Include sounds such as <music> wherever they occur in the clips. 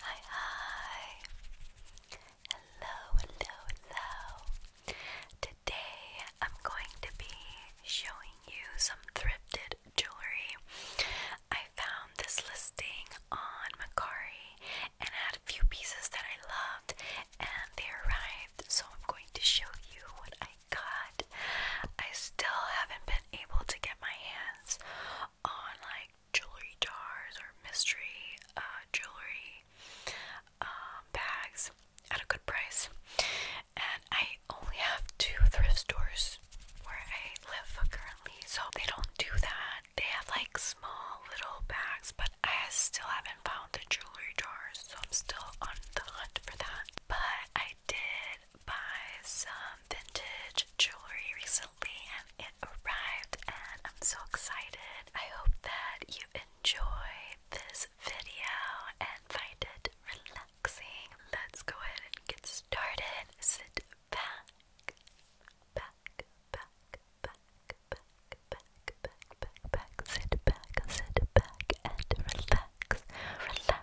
Hi, hi. Hello, hello, hello. Today I'm going to be showing you some thrifted jewelry. I found this listing on Macari and I had a few pieces that I loved and they arrived, so I'm going to show you what I got. I still haven't been able to get my hands on like jewelry jars or mystery uh, jewelry um, bags at a good price. And I only have two thrift stores where I live currently, so they don't do that. They have like small little bags, but I still haven't found the jewelry jars, so I'm still on the hunt for that. But I did buy some vintage jewelry recently and it arrived and I'm so excited. I hope that you enjoy this video and find it relaxing. Let's go ahead and get started. Sit back, back, back, back, back, back, back, back, back, sit back, sit back and relax, relax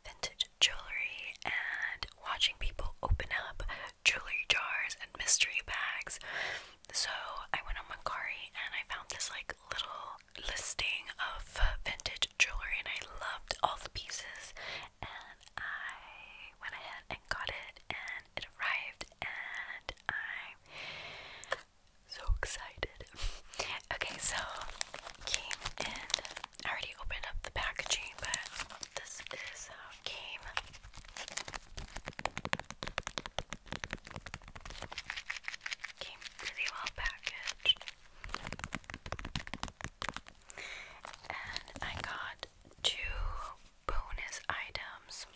vintage jewelry and watching people open up jewelry jars and mystery bags. So I went on Macari and I found this like little listing of vintage jewelry and I loved all the pieces and I went ahead and got it and it arrived and I'm so excited. <laughs> okay, so came in. I already opened up the packaging, but this is how it came. Came really well packaged. And I got two bonus items.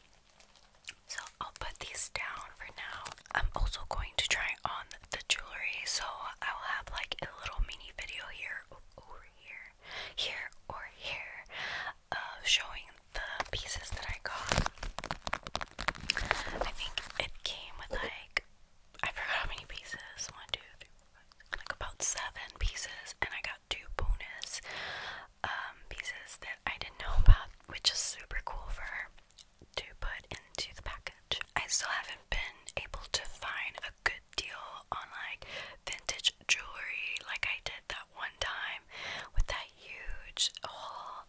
So I'll put these down for now. I'm also going to try on the jewelry, so I will have like a little mini video here, over here, here or here, showing the pieces that I got. I think it came with like I forgot how many pieces. One, two, three, four, five, like about seven pieces, and I got two bonus um, pieces that I didn't know about, which is super cool for to put into the package. I still haven't been able to find a good deal on like vintage jewelry like I did that one time with that huge haul.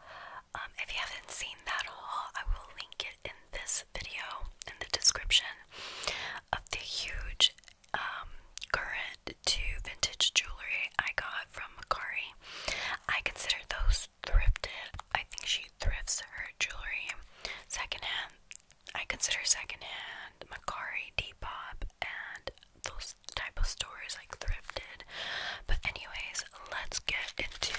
Um, if you haven't seen that haul, I will link it in this video in the description of the huge um, current to vintage jewelry I got from Macari. I consider those thrifted. I think she thrifts her jewelry secondhand. I consider secondhand Macari, Depop, and those type of stores like thrifted. But anyways, let's get into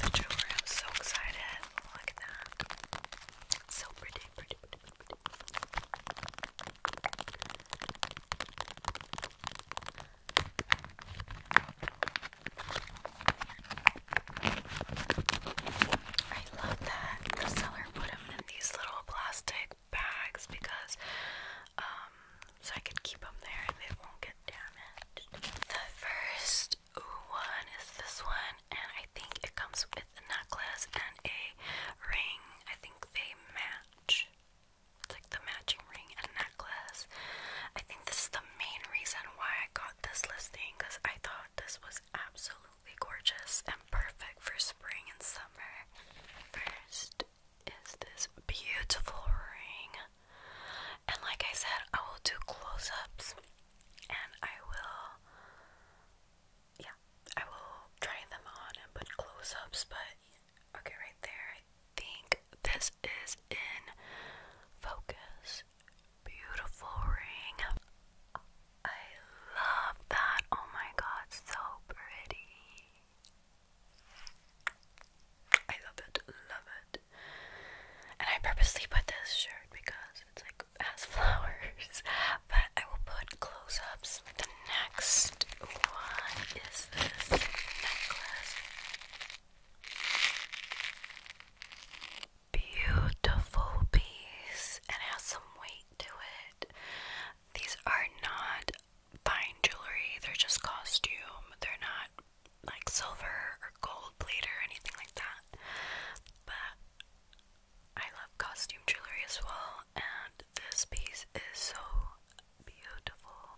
the jewelry. I'm so excited. Look at that. So pretty, pretty, pretty, pretty. I love that the seller put them in these little plastic bags because, um, so I can keep them there and they won't get damaged. The first one is this one, and I think it comes with a necklace and a ring. I think they match. It's like the matching ring and necklace. I think this is the main reason why I got this listing because I thought this was absolutely gorgeous and perfect for spring and summer. First is this beautiful ring, and like I said, I will do close ups and I will, yeah, I will try them on and put close ups, but okay, right there, I think this is in focus beautiful ring. I love that. Oh my god, so pretty. I love it, love it. And I purposely put this shirt because it's like it has <laughs> flowers. But I will put close-ups. The next one is this necklace beautiful piece and has some weight to it. These are not fine jewelry, they're just costume. They're not like silver or gold plate or anything like that. But I love costume jewelry as well, and this piece is so beautiful.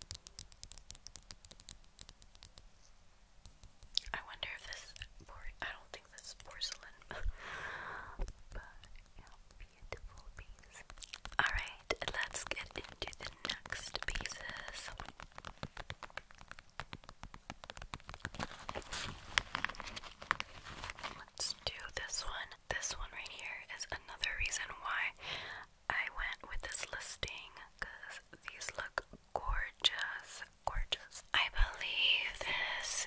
I wonder if this I don't think this porcelain, <laughs> but yeah, beautiful piece. All right, let's get into the next pieces. Let's do this one. This one right here is another reason why I went with this listing because these look gorgeous, gorgeous. I believe this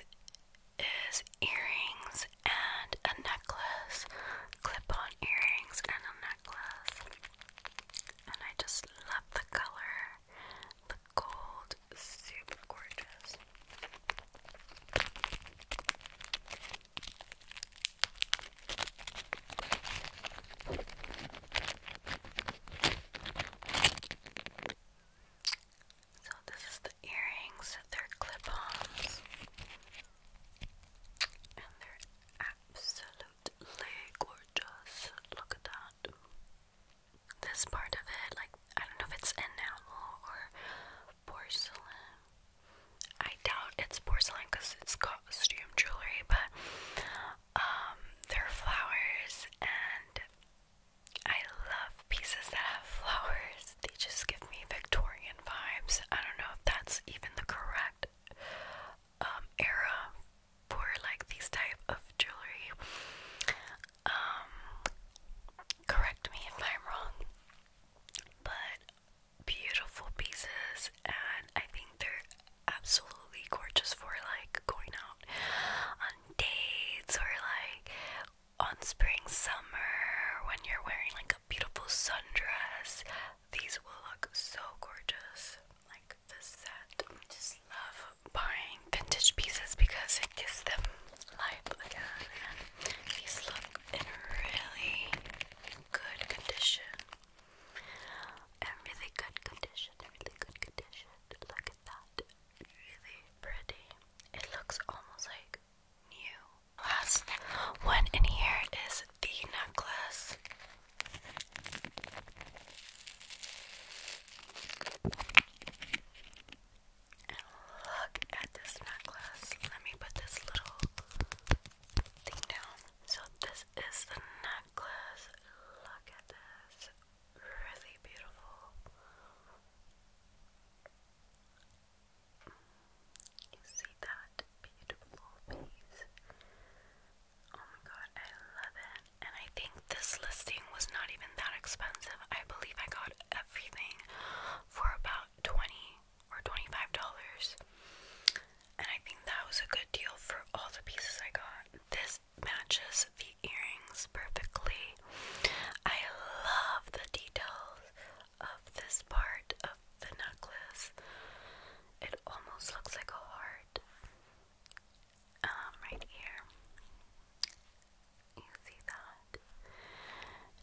is earrings and a necklace, clip-on earrings and a necklace. And I just love the color, the gold, super gorgeous. So this is the earrings, they're clip-ons. And they're absolutely gorgeous. Look at that. This part of it, like I don't know if it's enamel or porcelain. I doubt it's porcelain because it's costume jewelry, but um, their flowers, and I love pieces that have flowers. They just give me Victorian vibes. I don't know if that's even the correct um, era for like these type of jewelry. Um, correct me if I'm wrong, but beautiful pieces, and I think they're absolutely gorgeous for like going out on dates or like on spring summer when you're wearing like a beautiful sundress. These will look so gorgeous. Like the set. I just love buying vintage pieces because it gives them life again. these look in really good condition. And really good condition, really good condition. Look at that. Really pretty. It looks almost like new. Last one in here is the necklace. And look at this necklace. Let me put this little thing down. So this is the necklace. Look at this. Really beautiful. You see that beautiful piece? Oh my god, I love it. And I think this listing was not even that expensive. I believe I got everything for about 20 or $25. And I think that was a good deal for all the pieces I got. This matches the earrings perfectly. I love the details of this part of the necklace. It almost looks like a heart. Um, right here. You see that?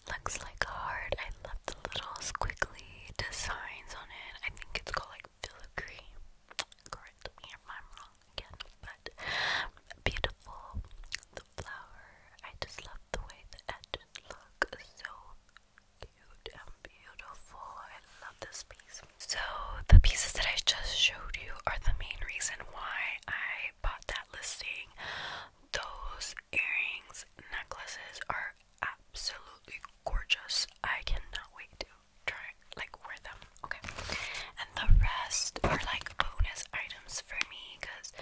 looks like a heart. I love the the little squiggly designs on it. I think it's called like filigree. Correct me if I'm wrong but beautiful. The flower. I just love the way the edges look. So cute and beautiful. love this piece. So the pieces that I just showed you are the main reason why I bought that listing. Those earrings, necklaces are absolutely gorgeous. I cannot wait to try like wear them. Okay. And the rest are like bonus items for me because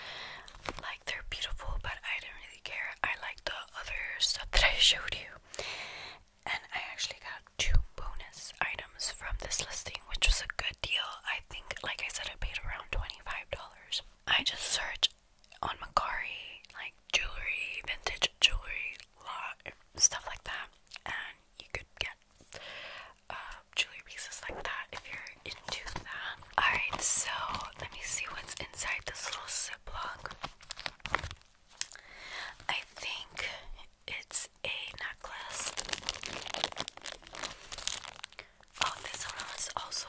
like they're beautiful but I don't really care. I like the other stuff that I <laughs> showed you. And I actually got two bonus items from this listing, which was a good deal. I think, like I said, I paid around $25. I just searched on Macari, like jewelry, vintage jewelry, lot stuff like that, and you could get uh, jewelry pieces like that if you're into that. Alright, so let me see what's inside this little ziplock. I think it's a necklace. Oh, this one is also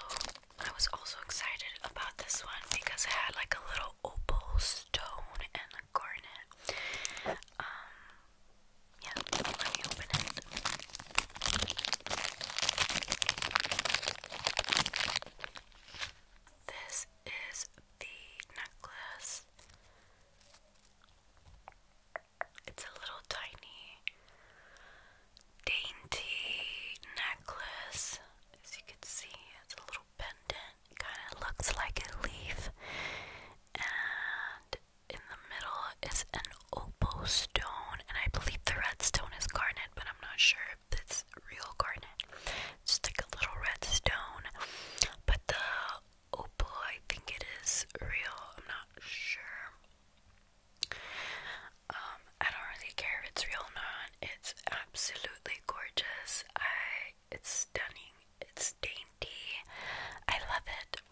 I was also excited about this one because it had like a little opal stone and a garnet. Um, yeah, let me open it. This is the necklace. It's a little tiny dainty necklace. As you can see, it's a little pendant. kind of looks like a leaf. And in the middle is an opal stone. And I believe the red stone is garnet, but I'm not sure if it's real garnet. It's just like a little red stone. But the opal, I think it is real. I'm not sure. Um, I don't really care if it's real or not. It's absolutely gorgeous. I it's stunning. It's dainty. I love it.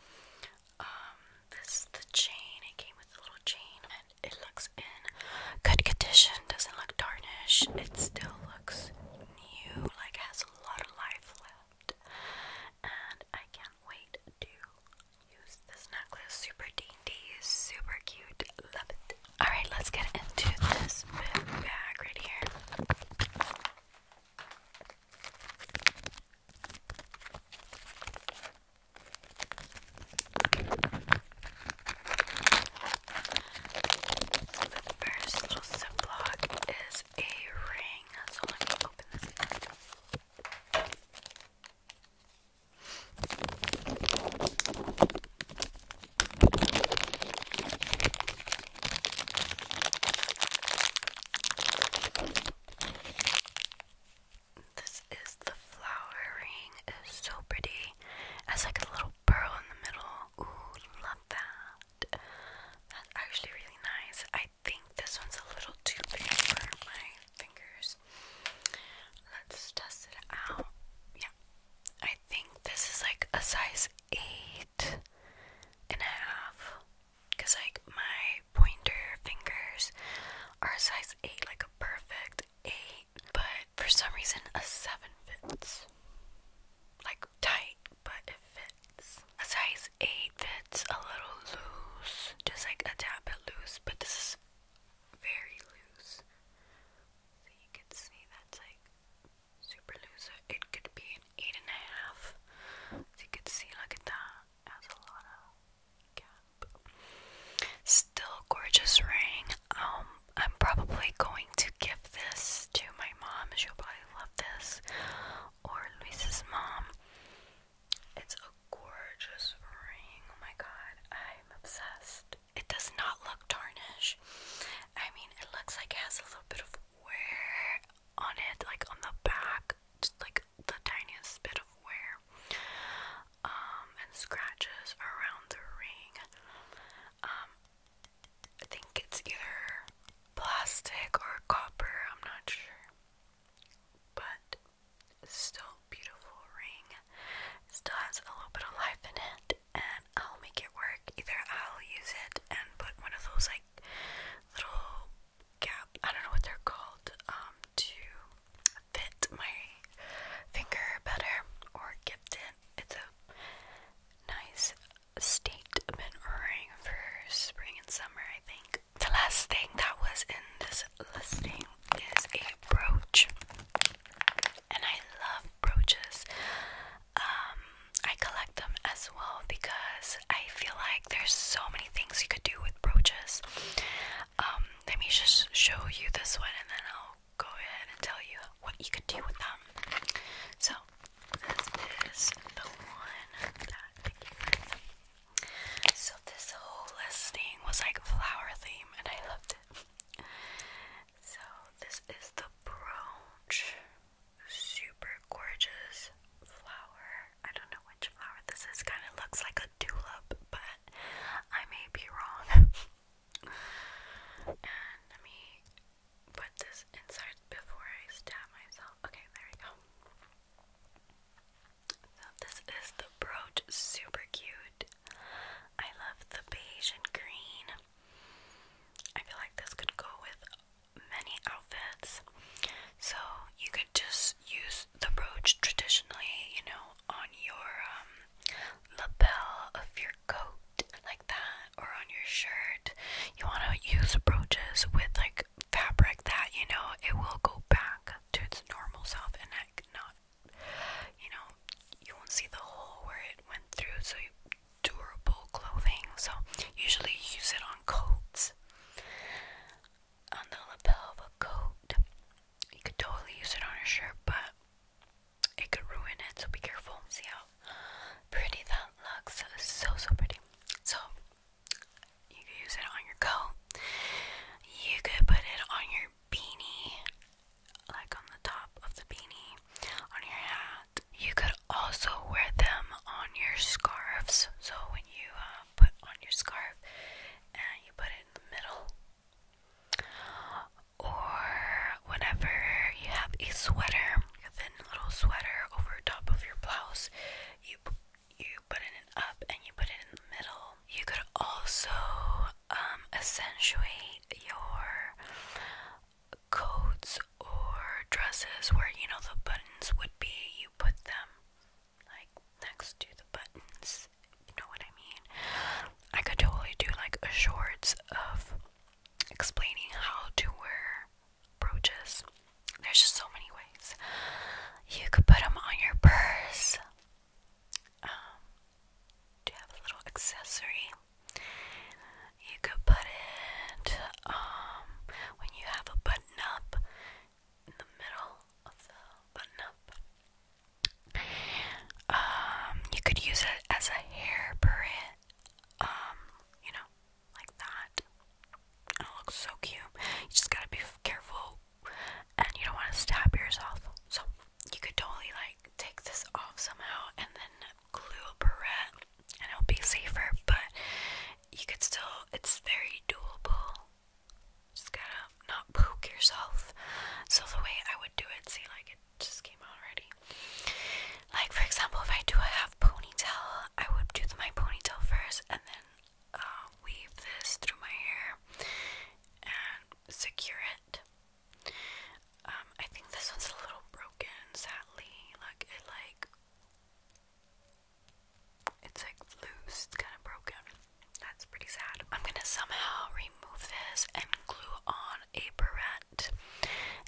Um, this is the chain. It came with a little chain and it looks in good condition. Doesn't look tarnished. It still looks new. Like has a lot of life left. And I can't wait to use this necklace. Super dainty, super cute. Love it. Alright, let's get into this bag right here. The first little ziplock is a ring, let me open this. This is the flowering. It's so pretty. It like a little pearl in the middle. Ooh, love that. That's actually really nice. I think this one's a little too big for my fingers. Let's test it out. Yeah. I think this is like a size eight and a half. Cause like my pointer fingers are a size eight, like a perfect eight. But for some reason a seven fits. Like tight, but it fits. A size eight fits a little loose. Just like a tad bit loose. But this is very loose. So you can see that's like super loose. It could be an eight and a half. So you can see, look at that. has a lot of gap. Still gorgeous ring. Um, I'm probably going to give this to my mom. She'll probably love this. Or Luis's mom. It's a gorgeous ring. Oh my god, I'm obsessed. It does not look tarnished. I mean, it looks like it has a little bit of wear on it, like on the back, just like the tiniest bit of wear. Um, and scratches around the ring. Um, I think it's either plastic or copper, I'm not sure but still beautiful ring. It still has a little bit of life in it, and I'll make it work. Either I'll use it and put one of those like little gap, I don't know what they're called, um, to fit my finger better, or gift it. It's a nice statement ring for spring and summer, I think the last thing that was in this listing is a brooch, and I love brooches. Um, I collect them as well because I feel like there's so many things you could do with brooches. Um, let me just show you this one, and then I'll go ahead and tell you what you could do with them. So, this is the one that so this whole listing was like flower theme and I loved it. so this is the brooch. Super gorgeous flower. I don't know which flower this is. Kind of looks like a tulip, but I may be wrong. <laughs> and let me put this inside before I stab myself. Okay, there we go. So this is the brooch, super cute. I love the beige and green. I feel like this could go with many outfits. So you could just use the brooch traditionally, you know, on your um, lapel of your coat like that or on your shirt. You want to use brooches with like fabric that, you know, it will go back to its normal self and that not you know you won't see the hole where it went through so durable clothing so usually you use it on coats on the lapel of a coat you could totally use it on a shirt but it could ruin it so be careful see how pretty that looks so so pretty so you could use it on your coat. You could put it on your beanie, like on the top of the beanie, on your hat. You could also wear them on your scarves. So when you uh, put on your scarf and you put it in the middle, or whenever you have a sweater, a thin little sweater over top of your blouse, you you put it up and you put it in the middle. You could also um, accentuate your coats or dresses where you know the buttons would be. You put them like next to the buttons. You know what I mean? I could totally do like a shorts of explaining how to wear brooches there's just so many ways. You could put them on your purse. Um, you have a little accessory? You could put it um, when you have a button up in the middle of the button up. Um, you could use it as a hair parrot. Um, you know, like that. It looks so cute. You just gotta be careful and you don't want to stab yourself. So you could totally like take this off somehow and then glue a barrette and it'll be safer, but you could still it's very doable. Just gotta not poke yourself. So the way I would do it, see like it just came out already. Like for example if I do a half ponytail, I would do my ponytail first and then uh, weave this through my hair and secure it. Um, I think this one's a little broken, sadly. Like it, like it's like loose. It's kind of broken. That's pretty sad. I'm gonna somehow remove this and glue on a barrette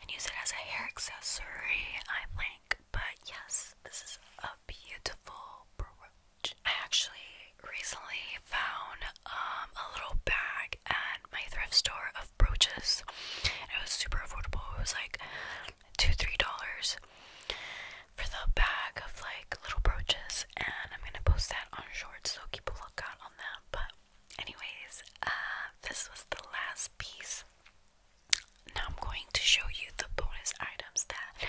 and use it as a hair accessory. I think but yes, this is a beautiful brooch. I actually recently found um, a little bag at my thrift store of brooches. it was super affordable. It was like two, three dollars for the bag of like little brooches. And I'm gonna post that on shorts, so keep a lookout on that. But anyways, uh, this was the last piece now I'm going to show you the bonus items that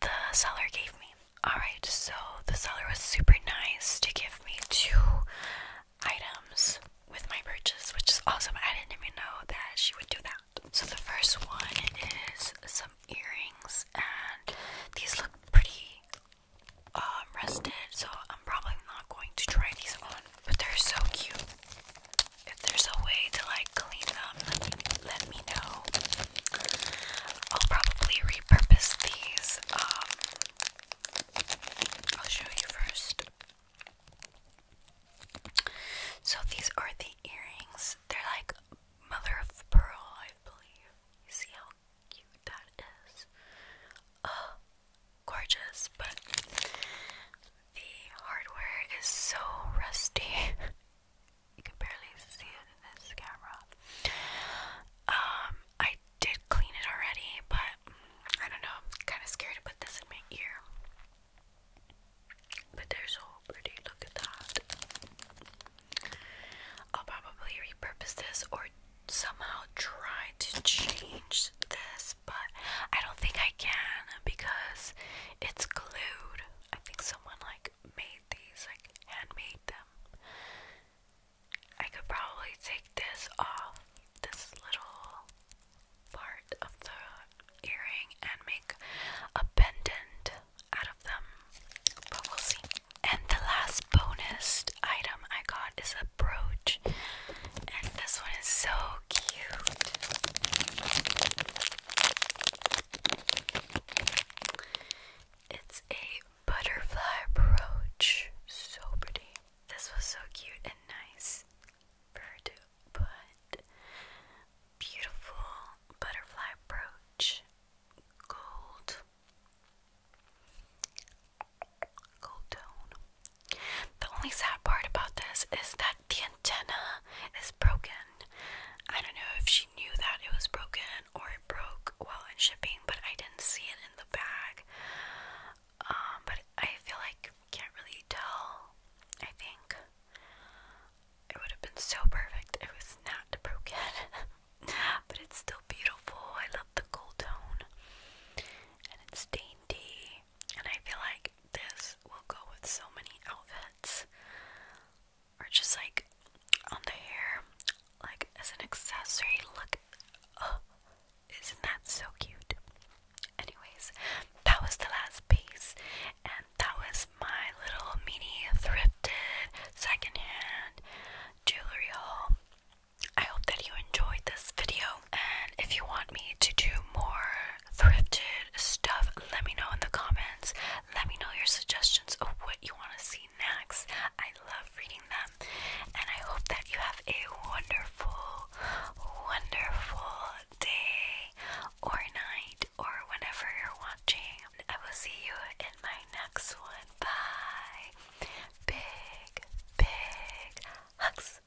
the seller gave me. Alright, so the seller was super nice to give me two items with my purchase, which is awesome. I didn't even know that she would do that. So the first one is some earrings, and these look pretty um, rusted, so I'm probably not going to try these on, but they're so cute if there's a way to like clean them, let me, know. I'll probably repurpose these. Um, I'll show you first. So these are the earrings. They're like mother of pearl, I believe. You see how cute that is? Oh, gorgeous, but the hardware is so rusty. <laughs> you can barely see it in this camera. Um, I did clean it already, but mm, I don't know. I'm kind of scared to put this in my ear. But they're so pretty. Look at that. I'll probably repurpose this or somehow try to change this but I don't think I can because it's glued. I think someone like made these, like handmade them. I could probably take this off, this little part of the earring, and make a pendant out of them, but we'll see. And the last bonus item I got is a brooch, and this one is so it's a butterfly brooch. So pretty. This was so cute and nice for her to put. Beautiful butterfly brooch. Gold. Gold tone. The only sad part about this is that the antenna is broken. I don't know if she knew that it was broken or it broke while in shipping, but I didn't see it in the bag. Um, but I feel like can't really tell. I think it would have been so perfect if it was not broken. <laughs> but it's still beautiful. I love the gold tone, and it's dainty and I feel like this will go with so many outfits or just like on the hair like as an accessory look oh isn't that so cute anyways that was the last piece and that was my little mini thrifted secondhand jewelry haul I hope that you enjoyed this video and if you want me to do more thrifted stuff, let me know in the comments. Let me know your suggestions of what you want to see next. I love reading them, and I hope that you have a wonderful, wonderful day or night or whenever you're watching. I will see you in my next one. Bye. Big, big hugs.